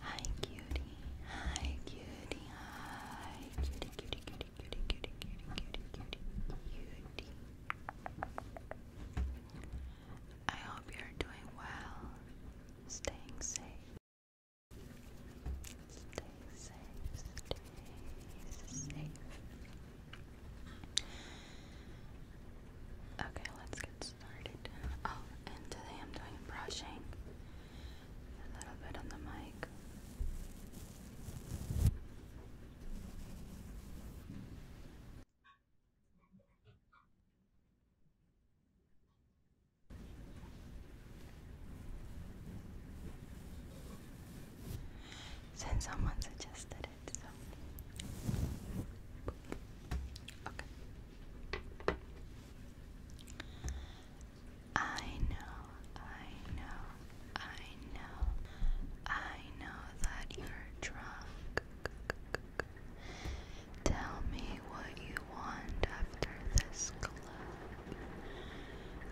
Hi cutie, hi cutie, hi cutie, cutie, cutie, cutie, cutie, cutie, cutie, cutie, cutie. I hope you're doing well, staying safe. Stay safe, stay safe. Okay, let's get Oh, and today I'm doing brushing. A little bit on the mic. Since someone suggested at I know, I know, I know, I know that you're drunk. Tell me what you want after this club.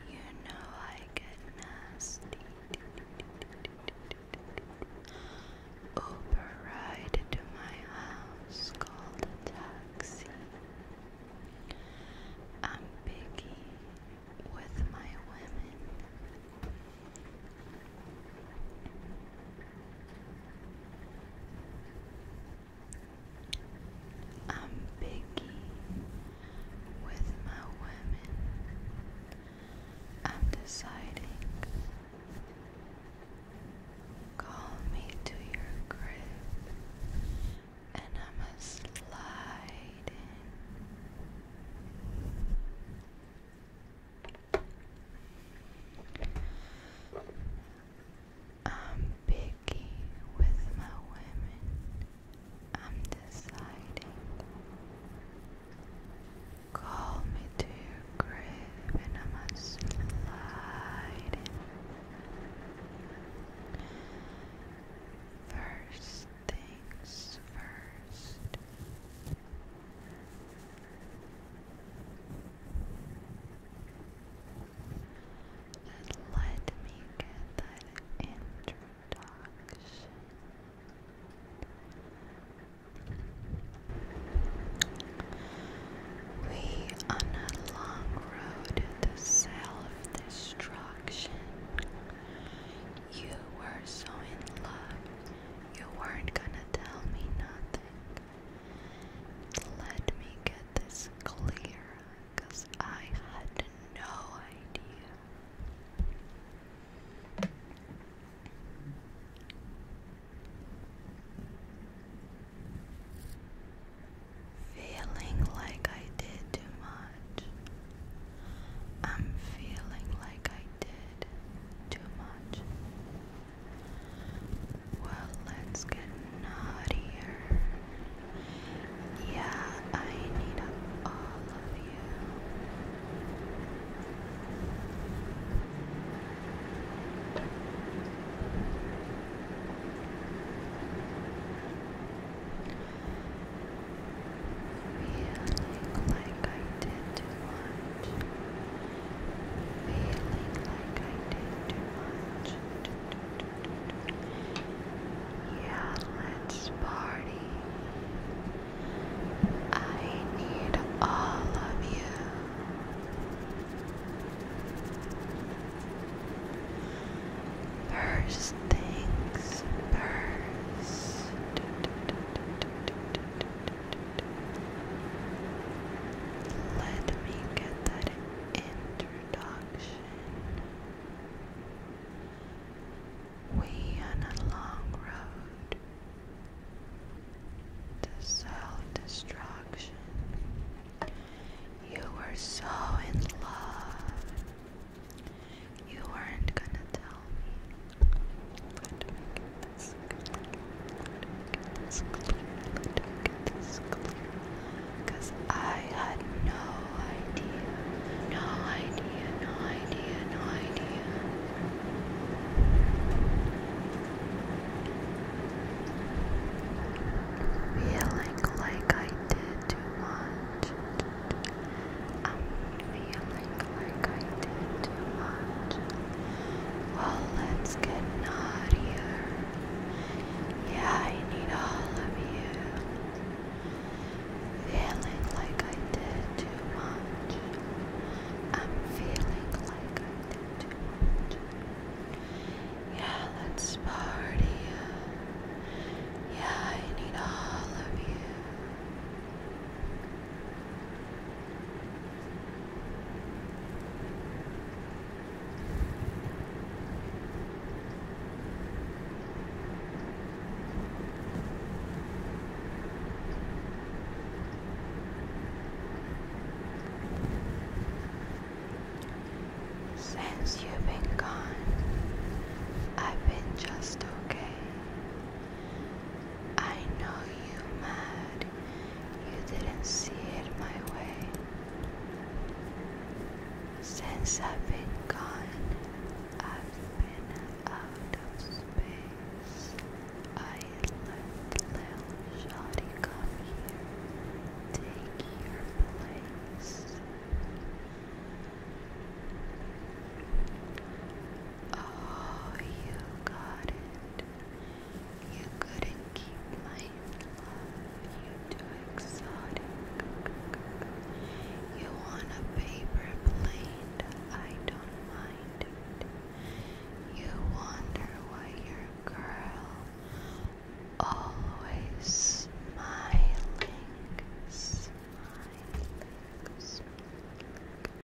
You know I get nasty. Uber ride to my house, call the taxi. I'm biggie with my women. I'm picky with my women. I'm deciding. Call me to your crib, and I'm a I'm picky with my women. I'm deciding. Call me to your grave and I must slide First things first. let me get that introduction. We on a long road to self-destruction. You were so in love, you weren't gonna tell me nothing. Let me get this clear, I had no idea Feeling like I did too much. I'm feeling like I did too much. Well, let's get naughtier. Yeah, I need all of you. Feeling like I did too much. Feeling like I did too much. Yeah, let's party. I need all of you. First things first. Let me get that introduction. We on a long road to self-destruction. You were so in love. You weren't gonna tell me get this clear, let her get this clear. Cause I had no idea, no idea, no idea, no idea. Feeling like I did too much. I'm feeling like I did too much. Well, let's get naughtier. Yeah, I need all of you. Feeling like I did too much. I'm feeling like I did too much. Yeah, let's party. Yeah, I need all of you. Since you've been gone, I've been just okay. I know you are mad you didn't see it my way. Since I've been gone, I've been out of space. I let little Shotty come here, take your place. Oh, you got it. You couldn't keep my love, you too exotic. You want a paper plane, I don't mind You wonder why your girl always smiling, smiling.